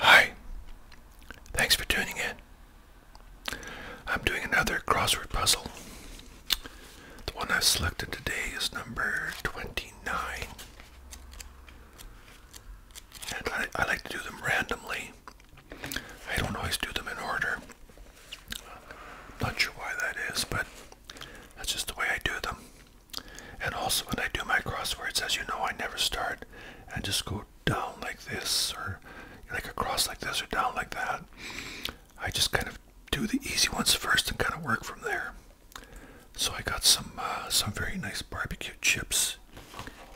Hi, thanks for tuning in. I'm doing another crossword puzzle. The one I've selected today is number 29. And I, I like to do them randomly I don't always do them in order. Not sure why that is, but that's just the way I do them. And also, when I do my crosswords, as you know, I never start and just go down like this, or like across like this, or down like that. I just kind of do the easy ones first and kind of work from there. So I got some uh, some very nice barbecue chips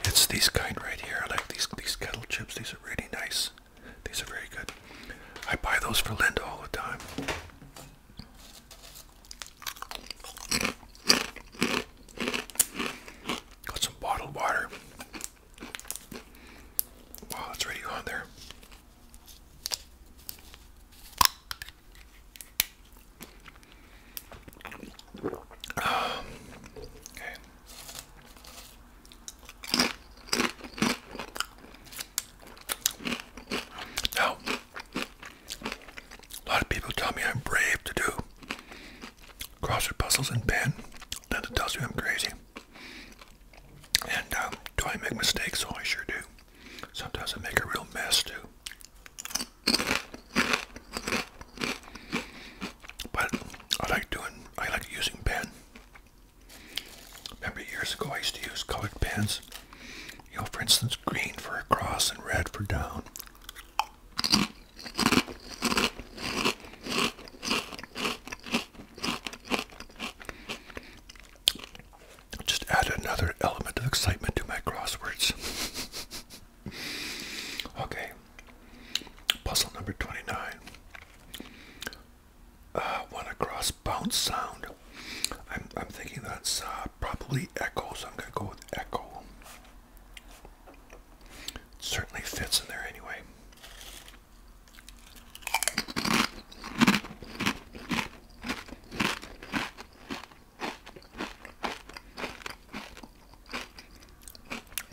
it's these kind right here. like these these kettle chips. These are really nice. These are very good. I buy those for Linda all the time. Got some bottled water. Wow, it's already on there. Ah, okay a lot of people tell me I'm brave to do crossword puzzles and pen. Linda tells you I'm crazy. And um, do I make mistakes? Oh, I sure do. Sometimes I make a real mess too. But I like doing, I like using pen. Remember years ago I used to use colored pens. You know, for instance, green for across and red for down. Just add another element of excitement to my crosswords. okay. Puzzle number 29. Uh, one across bounce sound. I'm, I'm thinking that's uh, probably echo, so I'm going to go with echo. certainly fits in there anyway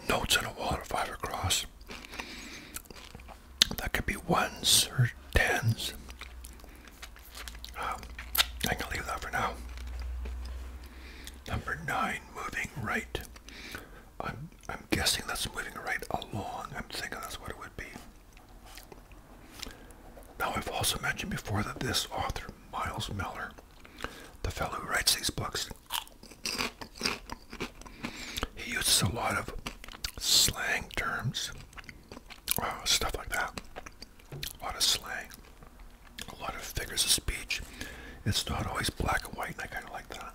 notes on a wall of five That could be ones or tens. Um, I can leave that for now. Number nine, moving right. I'm I'm guessing that's moving right along. I'm thinking that's what it would be. Now I've also mentioned before that this author, Miles Miller, the fellow who writes these books, he uses a lot of slang terms, oh, stuff like that. A lot of slang, a lot of figures of speech. It's not always black and white, and I kind of like that.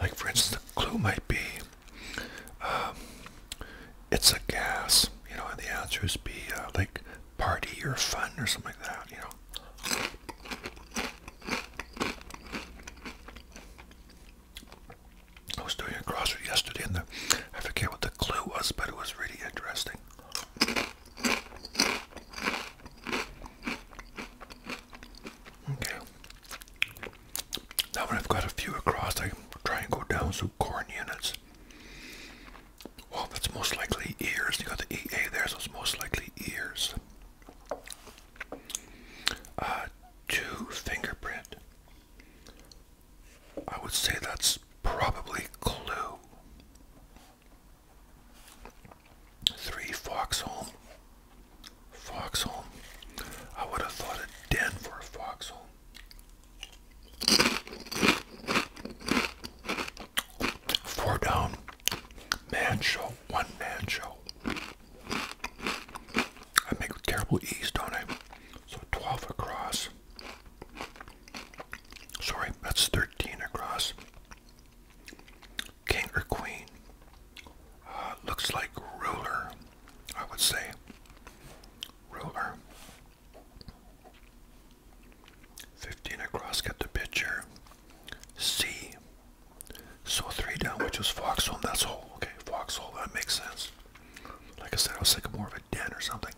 Like, for instance, the clue might be um, it's a gas, you know, and the answer would be uh, like party or fun or something like that, you know. I was doing a crossword yesterday, and I forget what the clue was, but it was really interesting. Okay, now when I've got a few across, I try and go down some corn units. Well, that's most likely ears. You got the EA there, so it's most likely ears. Uh, two fingerprint. I would say that's probably clue. Three foxhole. Foxhole. I would have thought a den for a foxhole. Four down. Man show. One man show. I make terrible ease, don't I? So 12 across. Sorry, that's 13 across. King or queen. Uh, looks like ruler. I would say ruler. 15 across, get the picture. C. So three down, which was foxhole, and that's hole. Okay, foxhole, that makes sense. Like I said, I was thinking more of a den or something.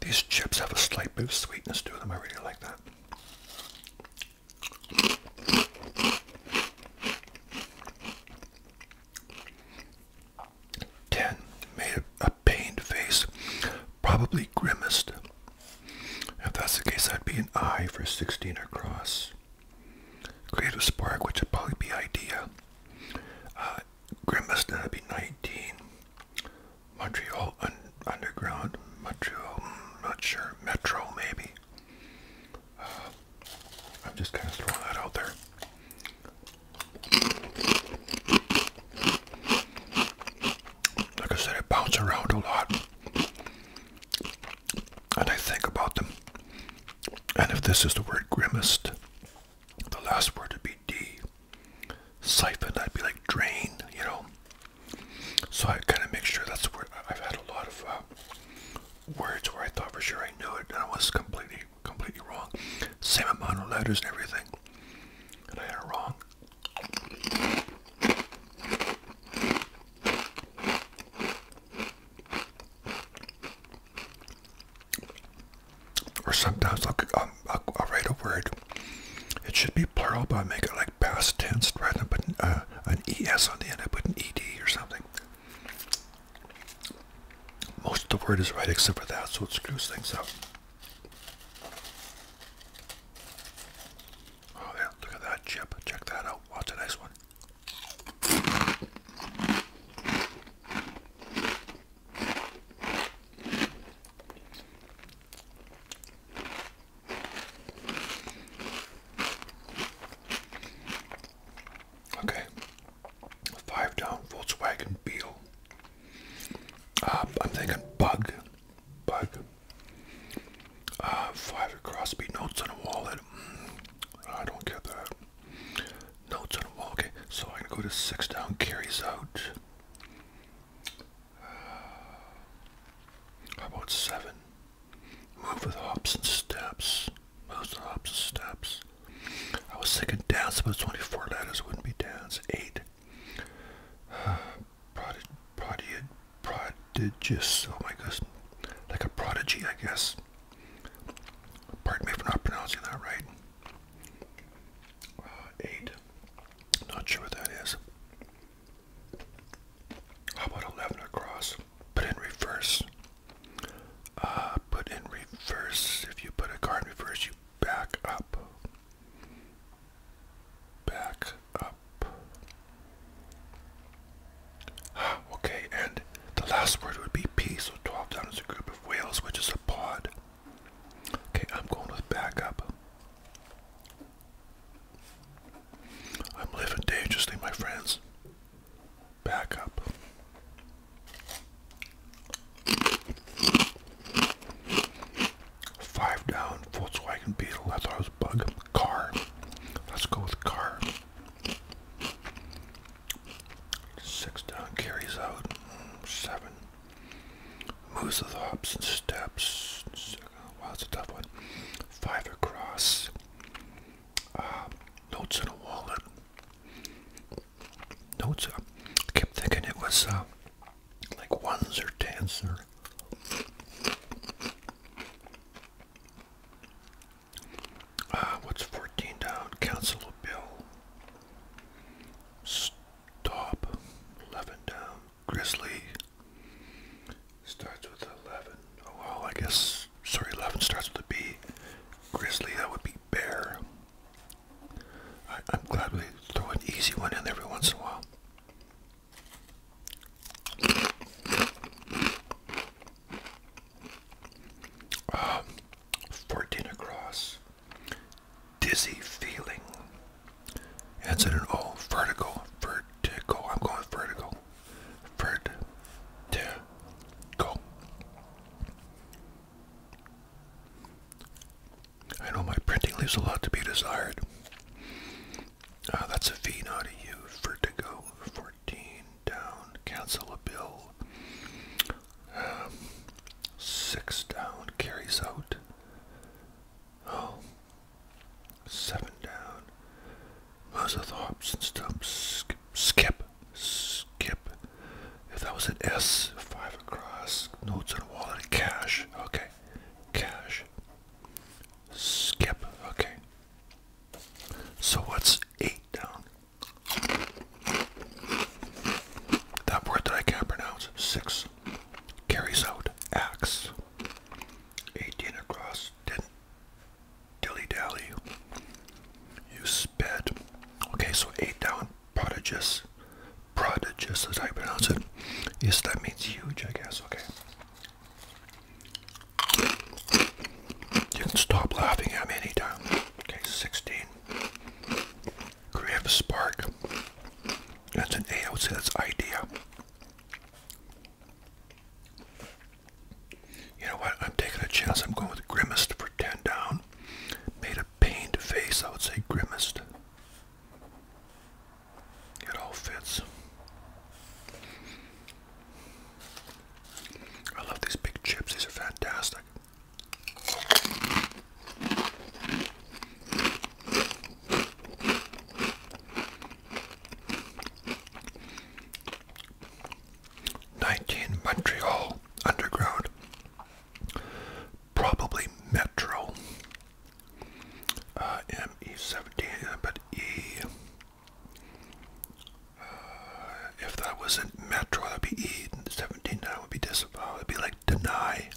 These chips have a slight bit of sweetness to them. I really like that. Ten made a, pained face, probably grimaced. If that's the case, I'd be an I for 16 across. a spark, which would probably be idea. Uh, Grimace Derby 19. Montreal un Underground. Montreal, i mm, not sure. Metro, maybe. Uh, I'm just kind of throwing that out there. Like I said, I bounce around a lot. And I think about them. And if this is the word grimaced, the last word would be D. Siphon, i would be like drain, you know. So I kind of make sure that's where I've had a lot of uh, words where I thought for sure I knew it and I was completely, completely wrong. Same amount of letters and everything, and I had it wrong. Or sometimes um, I'll, I'll, write a word. It should be plural, but I make it like past tense rather than putting uh, an ES on the end. I put an ED or something. Most of the word is right except for that, so it screws things up. Oh yeah, look at that chip. Check that out. Watch a nice one. Okay, five down Volkswagen Beetle. Um, I'm thinking bug, bug. Uh, five across, notes in a wallet. Mm, I don't get that. Notes on wall. Okay, So I'm gonna go to six down carries out. Uh, how about seven? Move with hops and steps. Moves hops and steps. I was thinking dance, but it's only four letters. wouldn't be dance. Eight. prodig prodig prodigious. Oh my gosh, Like a prodigy, I guess. Pardon me for not pronouncing that right. Uh, eight. Not sure what that is. How about eleven across? Put in reverse. Uh, put in reverse. If you put a card in reverse, you back up. Back up. Ah, okay, and the last word would be P, so 12 down is a group of whales, which is a pod. Okay, I'm going with backup. I'm living dangerously, my friends. Backup. Five down, Volkswagen Beetle. I thought it was bug. Car. Let's go with car. Six down carries out. Seven. Moves the hops and steps. Wow, that's a tough one. Five across. Um, notes in a wallet. Notes. Uh, I kept thinking it was uh, like ones or tens or. Uh, what's 14 down? Council bill. Stop. 11 down. Grizzly starts with 11. Oh, well, I guess, sorry, 11 starts with a B. Grizzly, that would be bear. I, am glad we throw an easy one in every once in a while. Um, 14 across dizzy feeling. It's an oh vertical. vertigo. I'm going vertigo, vertigo. I know my printing leaves a lot to be desired. Uh, that's a V, not a U. Vertigo, fourteen down. Cancel a bill six down carries out. Oh. Seven down. Mozart hops and stumps. Skip, skip, If that was an S, five across. Notes and wallet, cash. Okay, cash. Skip. Okay. So what's eight down? That word that I can't pronounce, six, carries out acts. 18 across, dilly-dally. You sped. Okay, so eight down, prodigious. Prodigious as I pronounce it. Yes, that means huge, I guess. Okay. You can stop laughing at me anytime. Okay, 16. Creative spark. That's an A, I would say that's idea. You know what? I'm taking a chance. I'm going with Grimmest for 10 down. Made a pained face. I would say Grimmest. It all fits. I love these big chips. These are fantastic. 19 Montreal Underground, probably Metro. Uh, ME17, but E. Uh, if that wasn't Metro, that'd be E17. That would be disavowed. Uh, It'd be like deny.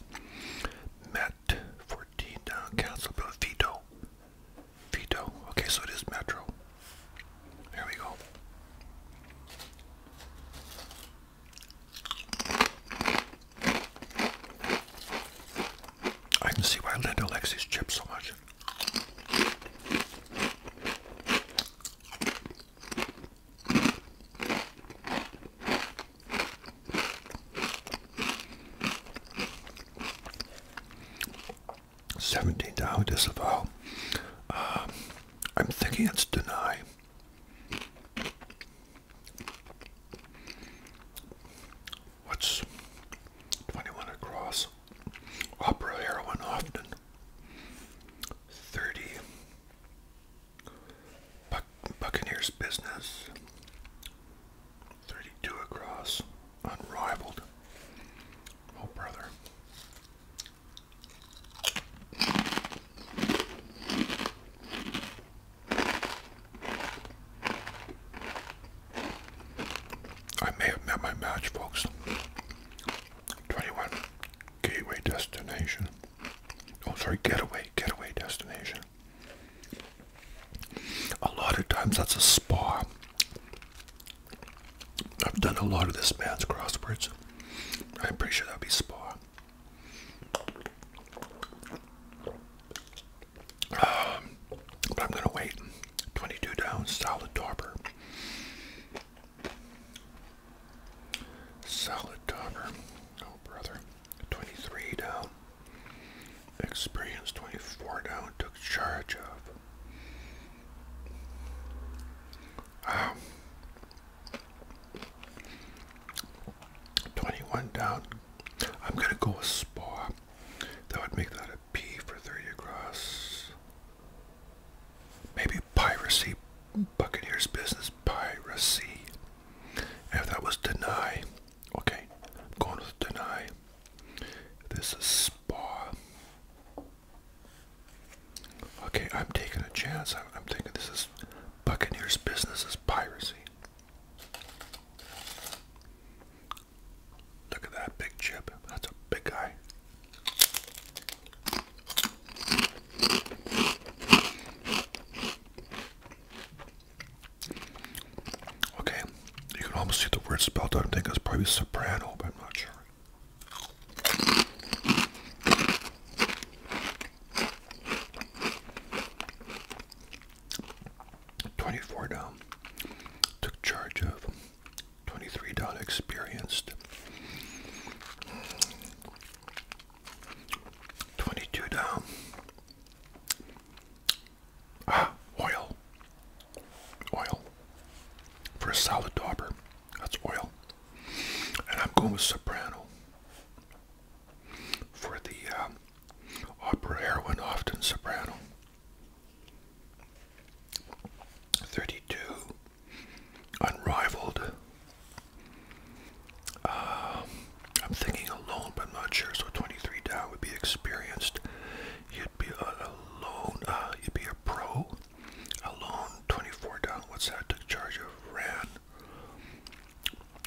Met 14 uh, council bill veto. Veto. Okay, so it is Metro. There we go. I can see why Linda likes these chips so much. 17 down, disavow. Um, I'm thinking it's deny. What's 21 across? Opera heroin often. 30. Buccaneers business. 32 across. Unrivaled. Oh, brother. I may have met my match, folks. 21 Gateway Destination oh sorry, getaway, getaway destination. A lot of times that's a spa. I've done a lot of this man's crosswords. I'm pretty sure that'd be spa. Um, but I'm gonna wait. 22 down, salad topper. Solid Donner. Oh, brother. 23 down. Experience 24 down. Took charge of. Ah. 21 down. I'm going to go with Spa. That would make that a P for 30 across. Maybe Piracy Buccaneers business piracy. if that was deny, okay, I'm going with deny. This is spa. Okay, I'm taking a chance. I'm, I'm thinking this is Buccaneers business is piracy. Look at that big chip. That's a big guy. Okay, you can almost see the word spelled out. I think it's probably soprano, but I'm not sure. Twenty-four down took charge of. Twenty-three down experienced. 22 down. Ah, oil. Oil. For a solid dauber. That's oil. And I'm going with soprano. For the um, opera heroine, often soprano. 32. Unrivaled um, I'm thinking alone, but I'm not sure. So 23 down would be experienced. You'd be a, uh, a uh, you'd be a pro. Alone, 24 down. What's that? Took charge of Ran.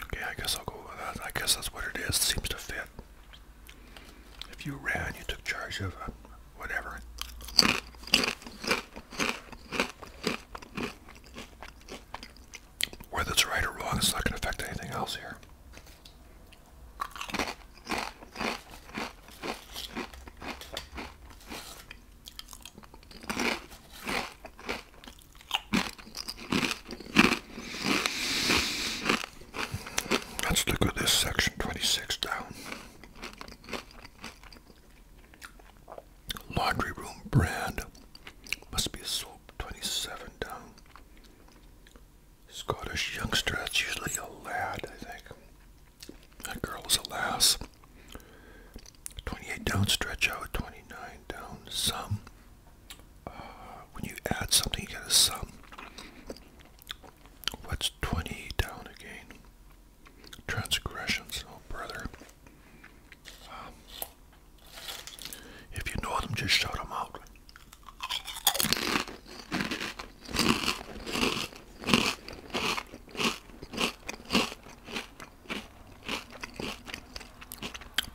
Okay, I guess I'll go with that. I guess that's what it is. Seems to fit. If you ran, you took charge of uh, whatever. Whether it's right or wrong, it's not going to affect anything else here. Let's look at this section 26 down. Laundry Room brand. Must be a soap 27 down. Scottish youngster, that's usually a lad, I think. That girl is a lass. 28 down, stretch out, 29 down, sum. Uh, when you add something, you get a sum. What's 20 down again? Transgressions, oh brother. Um, if you know them, just shout them out.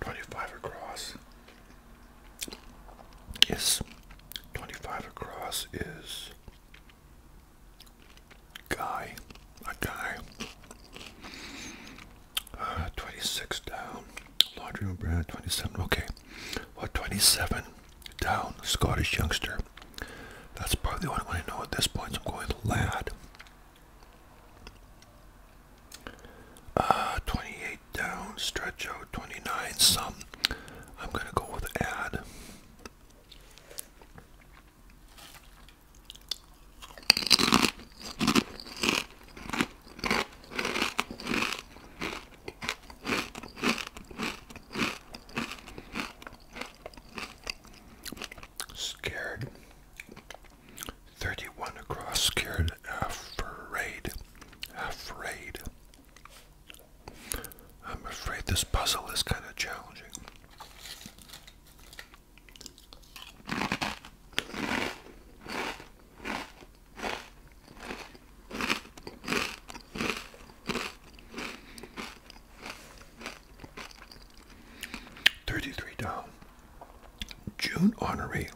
Twenty-five across is twenty-five across is guy, a guy. Uh, 26 down, laundry room brand, 27, okay. what? 27 down, Scottish youngster. That's probably the only one I know at this point, I'm going to lad. Uh, 28 down, stretch out, 29 some. I'm going to go with ad. Scared. 31 across, scared, afraid, afraid. I'm afraid this puzzle is kind of challenging. Thirty-three down. June Honoree.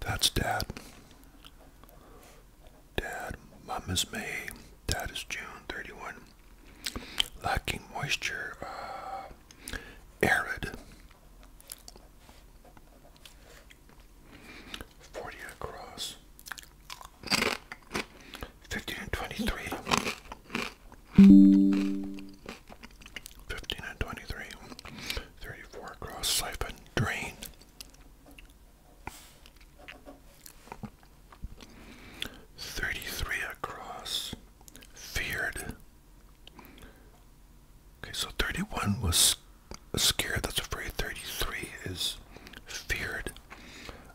That's Dad. Dad, Mom is May. Dad is June 31. Lacking moisture. Uh, arid. 40 across. 15 and 23. 15 and 23. 34 across. Siphon. Drain. Thirty-three across, feared, Okay, so 31 was scared, that's afraid. 33 is feared.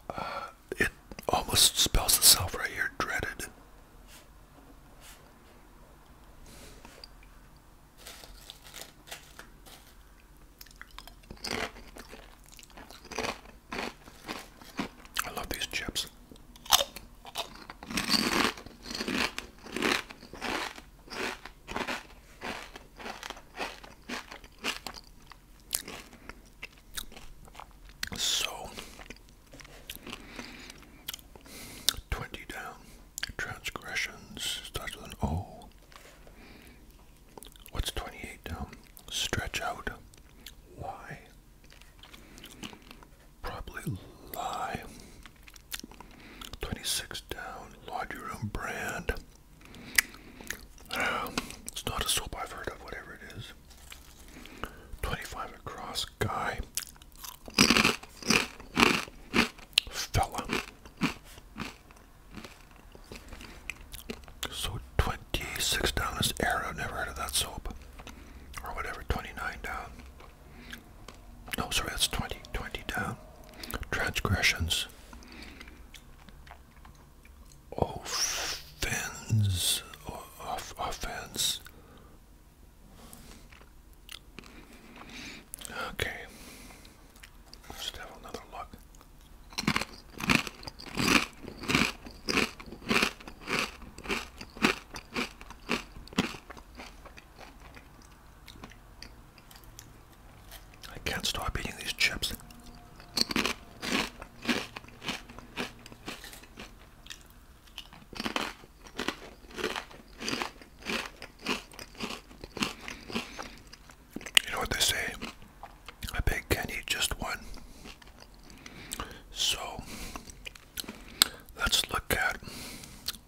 Uh, it almost spells itself right here, dreaded. I love these chips. So, 20 down, transgressions, starts with an O. What's 28 down? Stretch out. Why? probably lie. 26 down, laundry room brand. Um, it's not a soap I've heard of, whatever it is. 25 across, guy. Fella. So 26 down is Arrow, never heard of that soap. Or whatever, 29 down. Oh, sorry, that's 20, 20 down. Transgressions. Offense. offense. Okay. Let's have another look. I can't stop eating these chips. You know what they say? A pig can eat just one. So Let's look at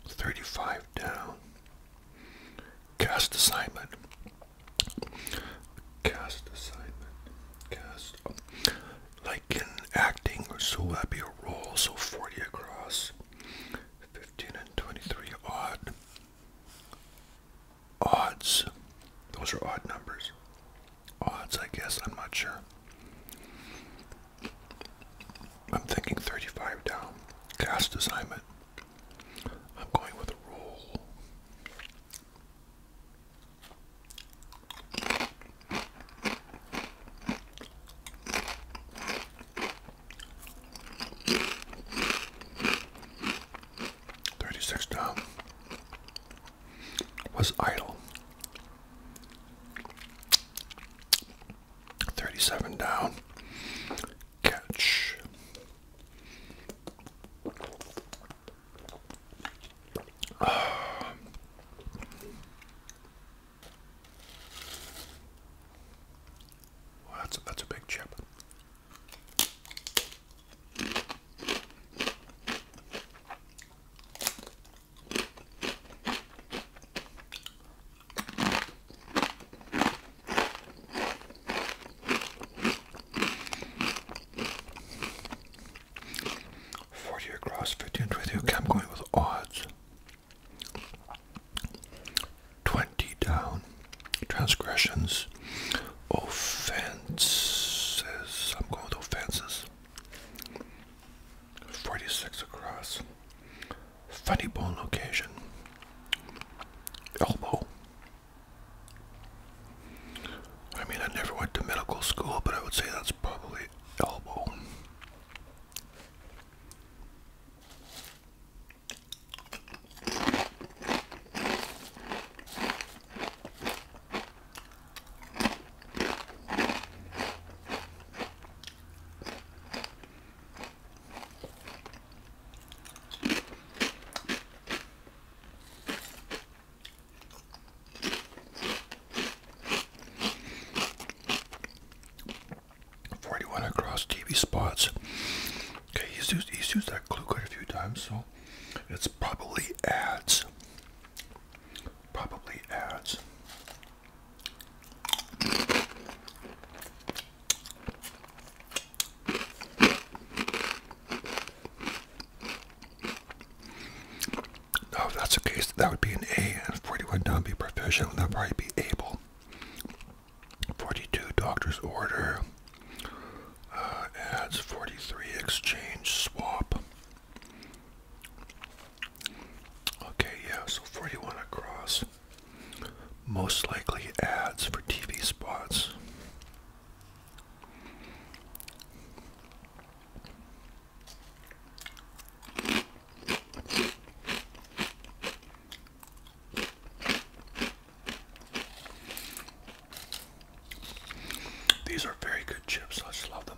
35 down. Cast assignment. Cast assignment. Cast. like in acting, or so that be a roll, so 40 across. 15 and 23 odd. Odds. Those are odd numbers odds, I guess. I'm not sure. I'm thinking 35 down. Cast assignment. I'm going with a roll. Thirty-six down was idle. 37 down. Catch. Ah. that's a, that's a big chip. Forty across, fifty and 20 I'm going with odds. Twenty down. Transgressions. Offenses. I'm going offenses. 46 across. Funny bone location. Elbow. I mean, I never went to medical school, but I would say that's probably elbow. 41 across TV spots. Okay, he's used, he's used that glue quite a few times, so it's probably ads probably adds. No, oh, that's the case, that would be an A, and 40 would not be proficient, that would probably be able. 42, doctor's order, uh, adds 43, exchange, swap. Okay, yeah, so 41 across. Most likely ads for TV spots. These are very good chips. I just love them.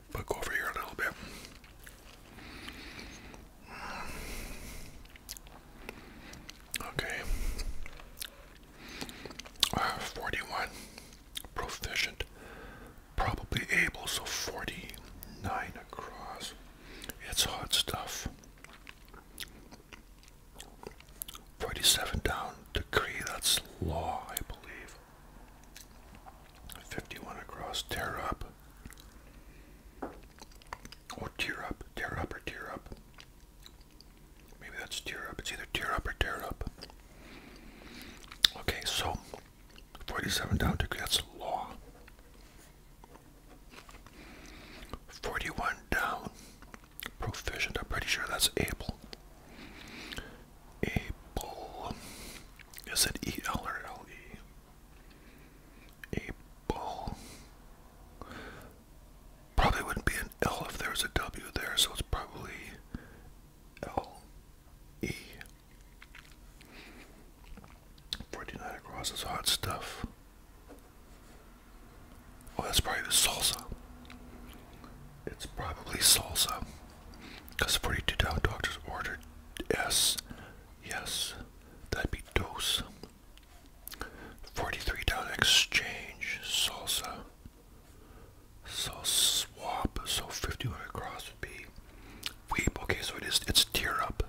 I book over here a little bit. Okay. Ah, 41. Proficient. Probably able, so 49 across. It's hot stuff. 47 down. Decree, that's law, I believe. 51 across. Tear up. Or tear up, tear up, or tear up. Maybe that's tear up. It's either tear up or tear up. Okay, so 47 down degree, that's law. 41 down, proficient. I'm pretty sure that's able. Able. Is it E L or L E? A bull. Probably wouldn't be an L if there was a W there, so it's probably L E. 49 across is hot stuff. Oh, that's probably the salsa. It's probably salsa. Because 42 down doctors ordered S Yes, that'd be dose. $43 exchange, salsa. So swap, so 51 across would be weep. Okay, so it is, it's tear up.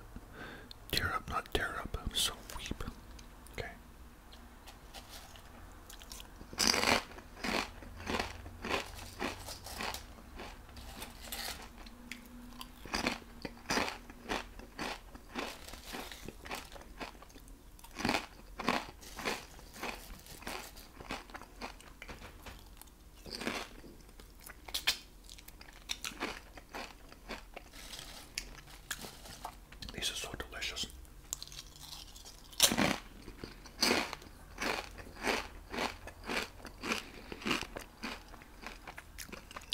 Tear up, not tear up, so weep. Okay. These are so delicious.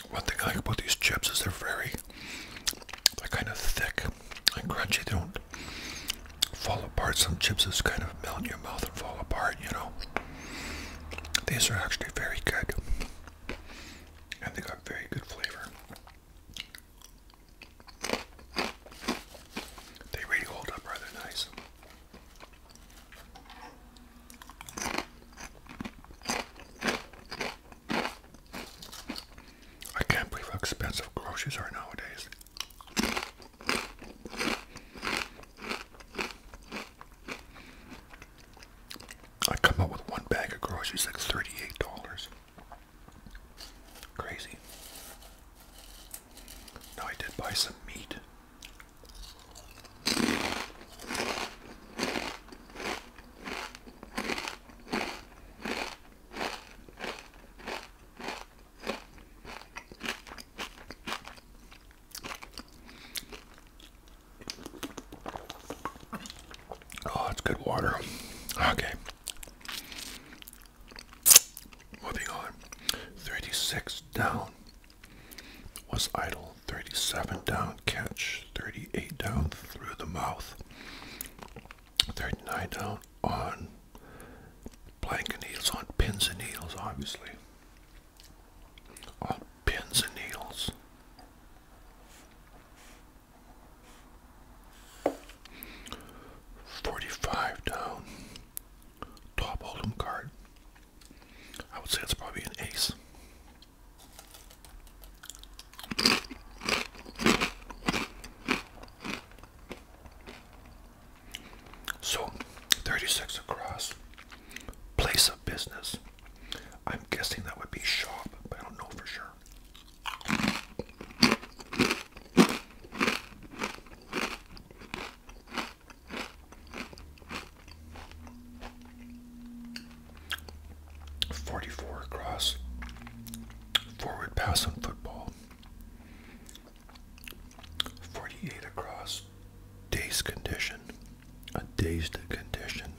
One thing I like about these chips is they're very, they kind of thick and crunchy. They don't fall apart. Some chips just kind of melt in your mouth and fall apart, you know. These are actually very good. And they got very good flavor. They really hold up rather nice. I can't believe how expensive groceries are nowadays. I come up with one bag of groceries at $38. Crazy. Now I did buy some meat. Oh, it's good water. Okay. Moving on. 36 down was idle. 37 down catch, 38 down through the mouth, 39 down on blank and needles, on pins and needles, obviously. On pins and needles. Forty-five down, top hold'em card, I would say it's probably an ace. So, 36 across. Place of business. I'm guessing that would be shop, but I don't know for sure. 44 across. Forward pass on football. 48 across. Dazed condition. A dazed condition.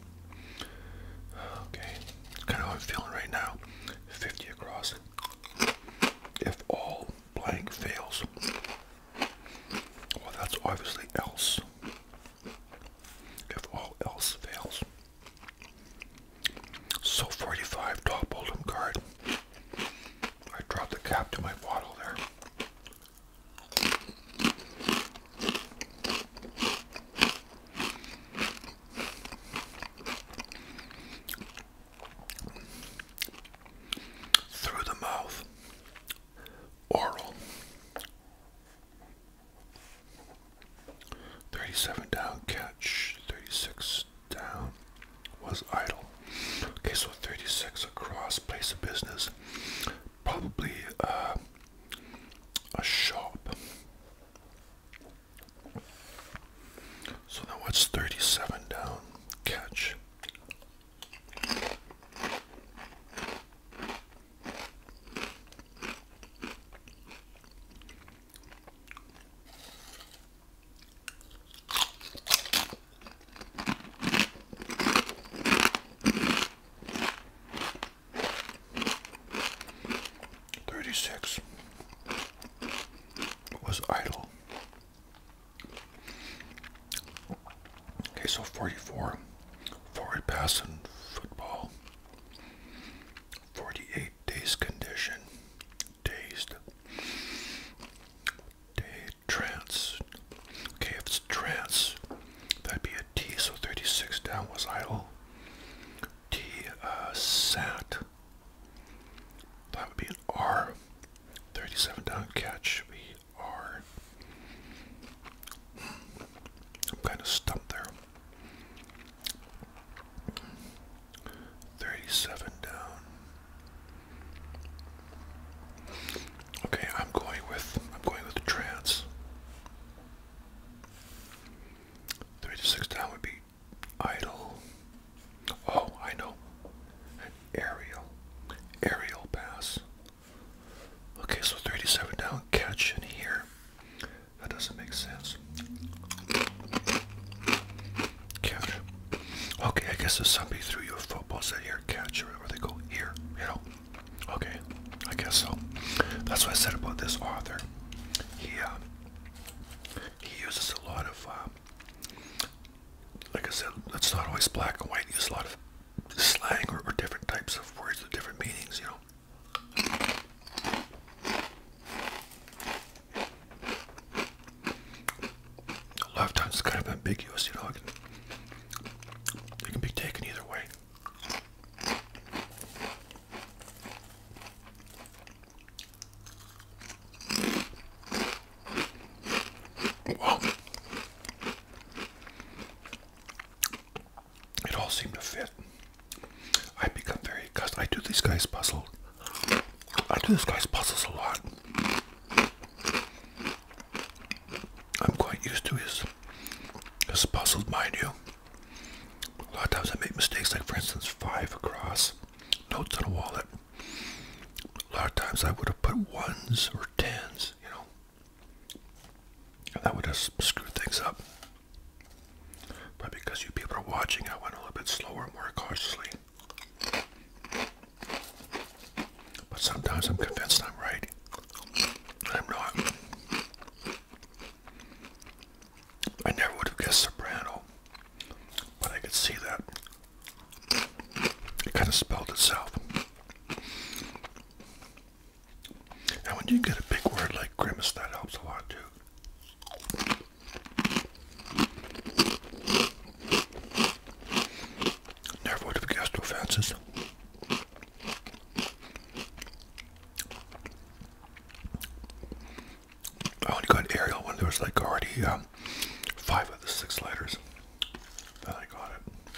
Okay. That's kind of how I'm feeling right now. 50 across. If all blank fails, well, that's obviously else. If all else fails. So 45 top Oldham card. I dropped the cap to my bottle there. Through the mouth. Oral. 37 down catch, 36 down was idle. Okay, so 36 across place of business, probably uh, a shop. So now what's 37 down catch? Thirty six was idle Okay, so 44. Forward pass in football. 48 days condition. Dazed. Day trance. Okay, if it's trance, that'd be a T, so 36 down was idle. T uh, sat. That would be an R. 37 down catch would be I'm kind of stumped there. 37 down. Okay, I'm going with I'm going with the trance. 36 down would be idle. Oh, I know. aerial. Aerial pass. Okay, so 37 down, catch in here. That doesn't make sense. Catch. Okay, I guess if somebody threw you a football, said here, catch, or they go, here, you know. Okay, I guess so. That's what I said about this author. He, uh, he uses a lot of, um, like I said, it's not always black and white. He uses a lot of slang or, different types of words with different meanings, you know. A lot of times it's kind of ambiguous, you know. It can, be taken either way. It all seemed to fit. I become very I do these guys' puzzles. I do this guy's puzzles a lot. I'm quite used to his his puzzles, mind you. A lot of times I make mistakes, like for instance, five across notes on a wallet. A lot of times I would have put ones or tens, you know. That would have screwed things up. But because you people are watching, I went a little bit slower, more cautiously. But sometimes I'm convinced I'm right. I'm not. I never would have guessed soprano, but I could see that. It kind of spelled itself. And when you get a big word like grimace, that helps a lot too. Never would have guessed offenses. I only got Ariel when there was like already um, five of the six letters. Then I got it.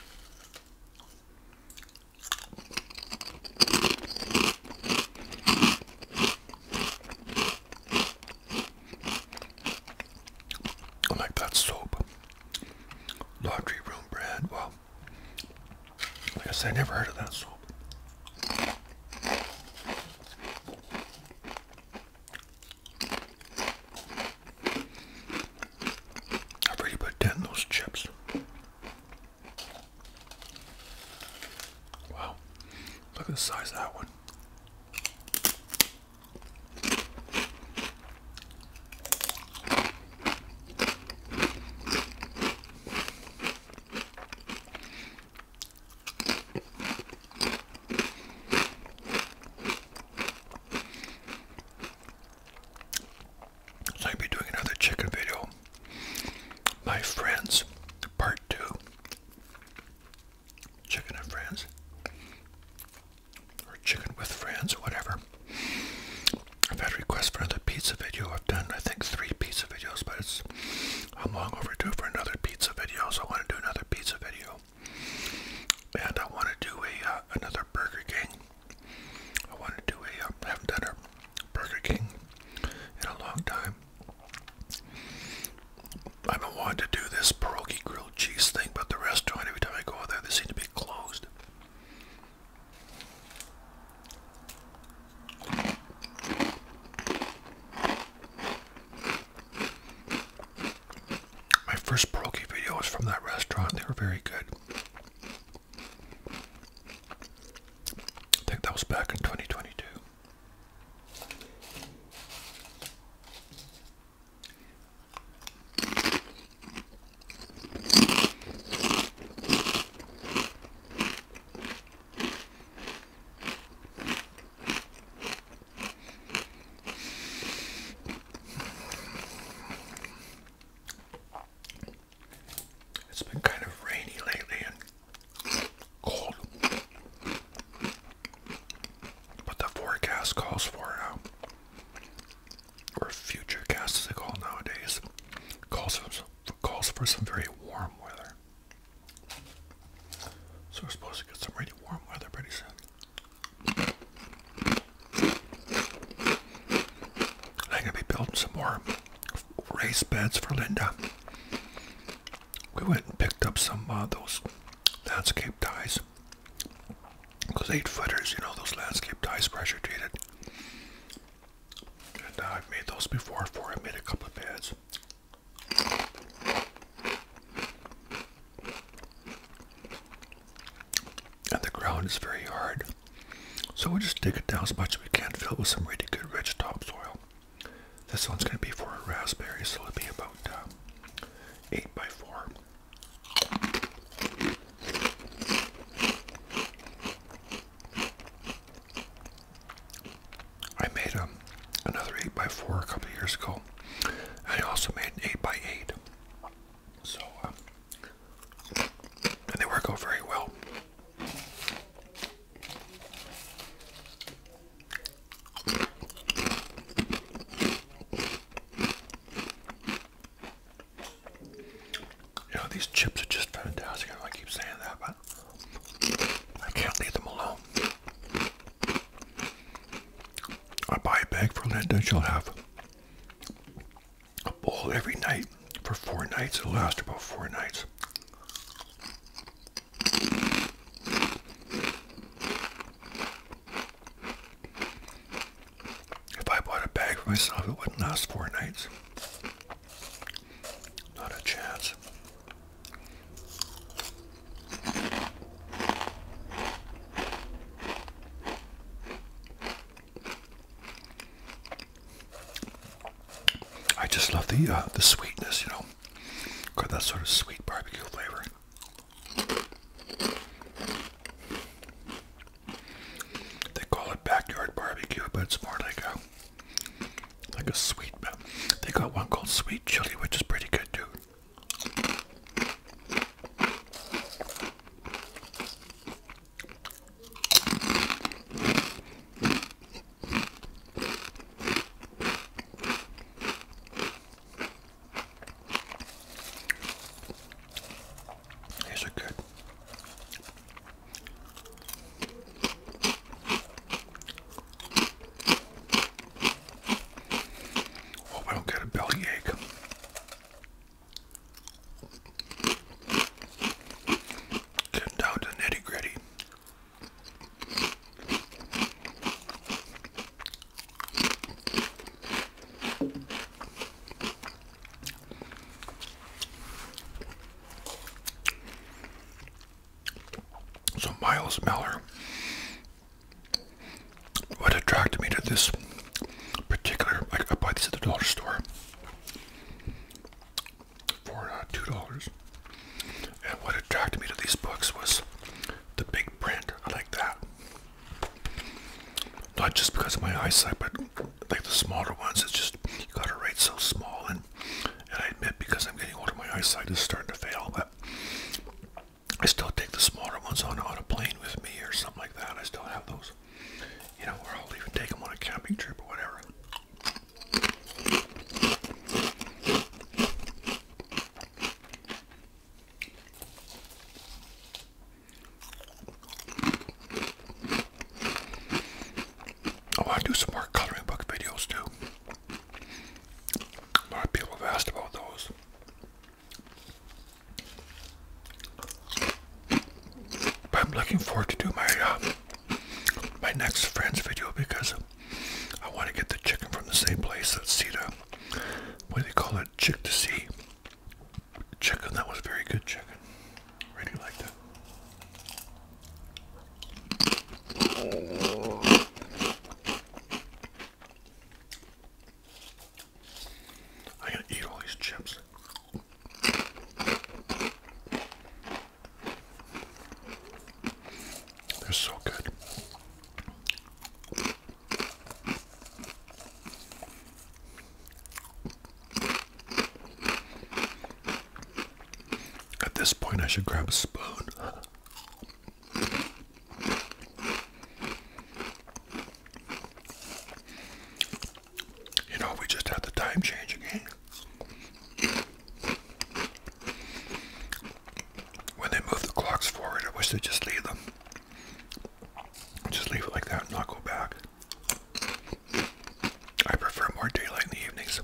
I like that soap. Laundry room brand. Well, I guess I never heard of that soap. I've already put down those chips. Wow. Look at the size of that one. So I'll be doing another chicken video. My friends, part two. Chicken and friends. Or chicken with friends, whatever. I've had requests for another pizza video. I've done, I think, three pizza videos, but it's I'm long overdue for another pizza video, so I want to do another pizza video. And I want to do a uh, another Burger King I want to do a, I um, haven't a Burger King in a long time. i am been wanting to do this pierogi grilled cheese thing, but the restaurant, every time I go there, they seem to be closed. My first pierogi video was from that restaurant. They were very good. I think that was back in 2022. It's been kind of rainy lately and cold. But the forecast calls for, uh, or future as they call nowadays, calls for, some, very warm weather. So we're supposed to get some really warm weather pretty soon. I'm going to be building some more raised beds for Linda. We went and picked up some of uh, those landscape ties. Those eight footers, you know, those landscape ties pressure treated. And uh, I've made those before for I made a couple of beds and the ground is very hard. So we'll just dig it down as much as we can, fill it with some really good rich topsoil. This one's going to be for raspberries, so it'll be about uh, 8 by 4 I made um, another 8x4 a couple years ago. I also made an 8x8. So, um, and they work out very well. You these chips are just fantastic. I, keep saying that, but I can't leave them alone. I buy a bag for Linda, she'll have a bowl every night for four nights. It'll last about four nights. If I bought a bag for myself, it wouldn't last four nights. Not a chance. I just love the uh, the sweetness, you know, got that sort of sweet barbecue flavor. They call it backyard barbecue, but it's more like a like a sweet. They got one called sweet chili, which is pretty good too. These are good. Hope I don't get a belly ache. Getting down to nitty gritty. So Miles Meller, what attracted me to this particular. I, I buy these at the dollar store for uh, two dollars. And what attracted me to these books was the big print. I like that. Not just because of my eyesight, but like the smaller ones, it's just you gotta write so small. And and I admit, because I'm getting older, my eyesight is starting to fail. But I still take the smaller ones on on a plane with me or something like that. I still have those you know, or I'll even take them on a camping trip or whatever. Oh, I do some more coloring book videos too. A lot of people have asked about those. I'm looking forward to do my uh, my next friends video because I want to get the chicken from the same place that Sita. What do they call it? Chick to see. Chicken. That was very good chicken. Really like that. I gotta eat all these chips. They're so good. At this point, I should grab a spoon. You know, we just had the time change again. When they move the clocks forward, I wish they'd just leave them. Just leave it like that and not go back. I prefer more daylight in the evenings.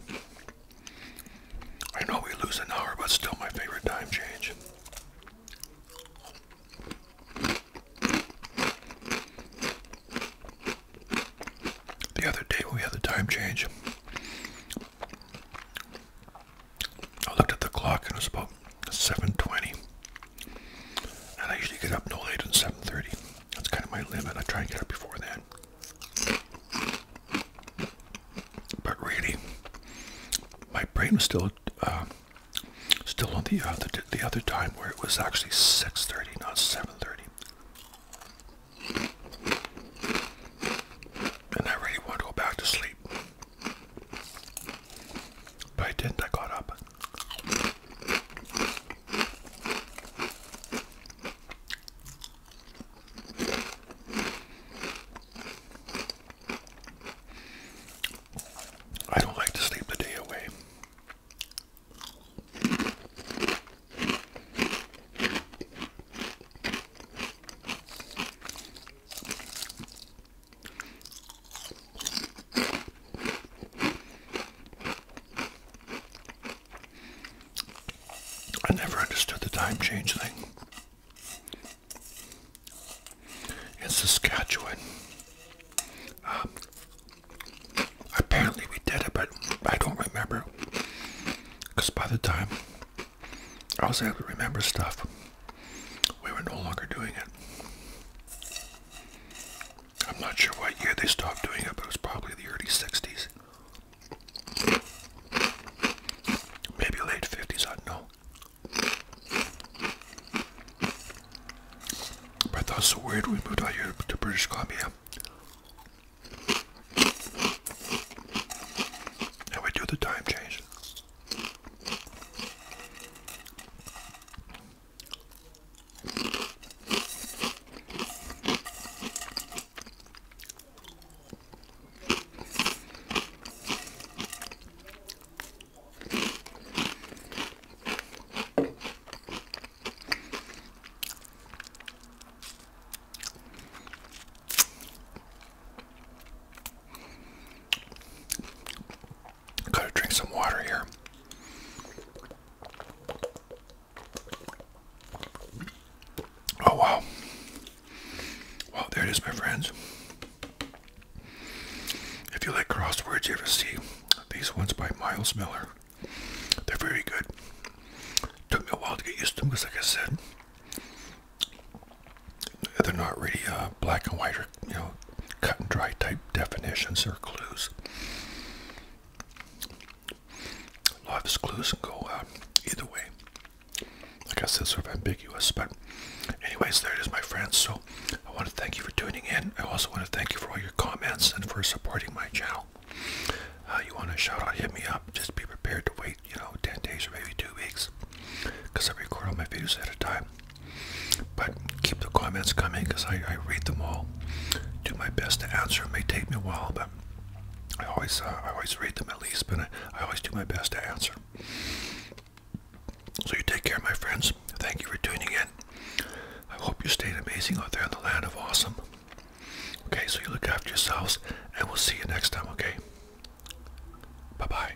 I know we lose an hour, but still my favorite time change. The other day when we had the time change, I looked at the clock and it was about 7.20. And I usually get up no later than 7.30. That's kind of my limit. I try and get up before that. But really, my brain was still uh, Still on the other the other time where it was actually 6:30, not 7:30. And I really wanted to go back to sleep. But I didn't, I got up. I don't like to sleep the day away. I never understood the time change thing. In Saskatchewan, um, Apparently we did it, but I don't remember. Because by the time I was able to remember stuff, we were no longer doing it. I'm not sure what year they stopped doing it, but it was probably the early 60s. Maybe late 50s, I don't know. But that's so weird we moved out here to British Columbia. And we do the time change. Gotta drink some water here. Oh wow. Well, there it is, my friends. If you like crosswords, you ever see these ones by Miles Miller. They're very good. Took me a while to get used to them because, like I said, they're not really uh, black and white or you know cut and dry type definitions or clues. A lot of clues go uh, either way. Like I said, sort of ambiguous. But anyways, there it is, my friends. So I want to thank you for tuning in. I also want to thank you for all your comments and for supporting my channel. Uh, you want a shout out, hit me up. Just be prepared to wait, you know, 10 days or maybe two weeks because I record all my videos at a time. But keep the comments coming because I, read them all. Do my best to answer. It may take me a while, but I always uh, I always read them at least, but I always do my best to answer. So you take care, my friends. Thank you for tuning in. I hope you stayed amazing out there in the land of awesome. Okay, so you look after yourselves, and we'll see you next time, okay? Bye-bye.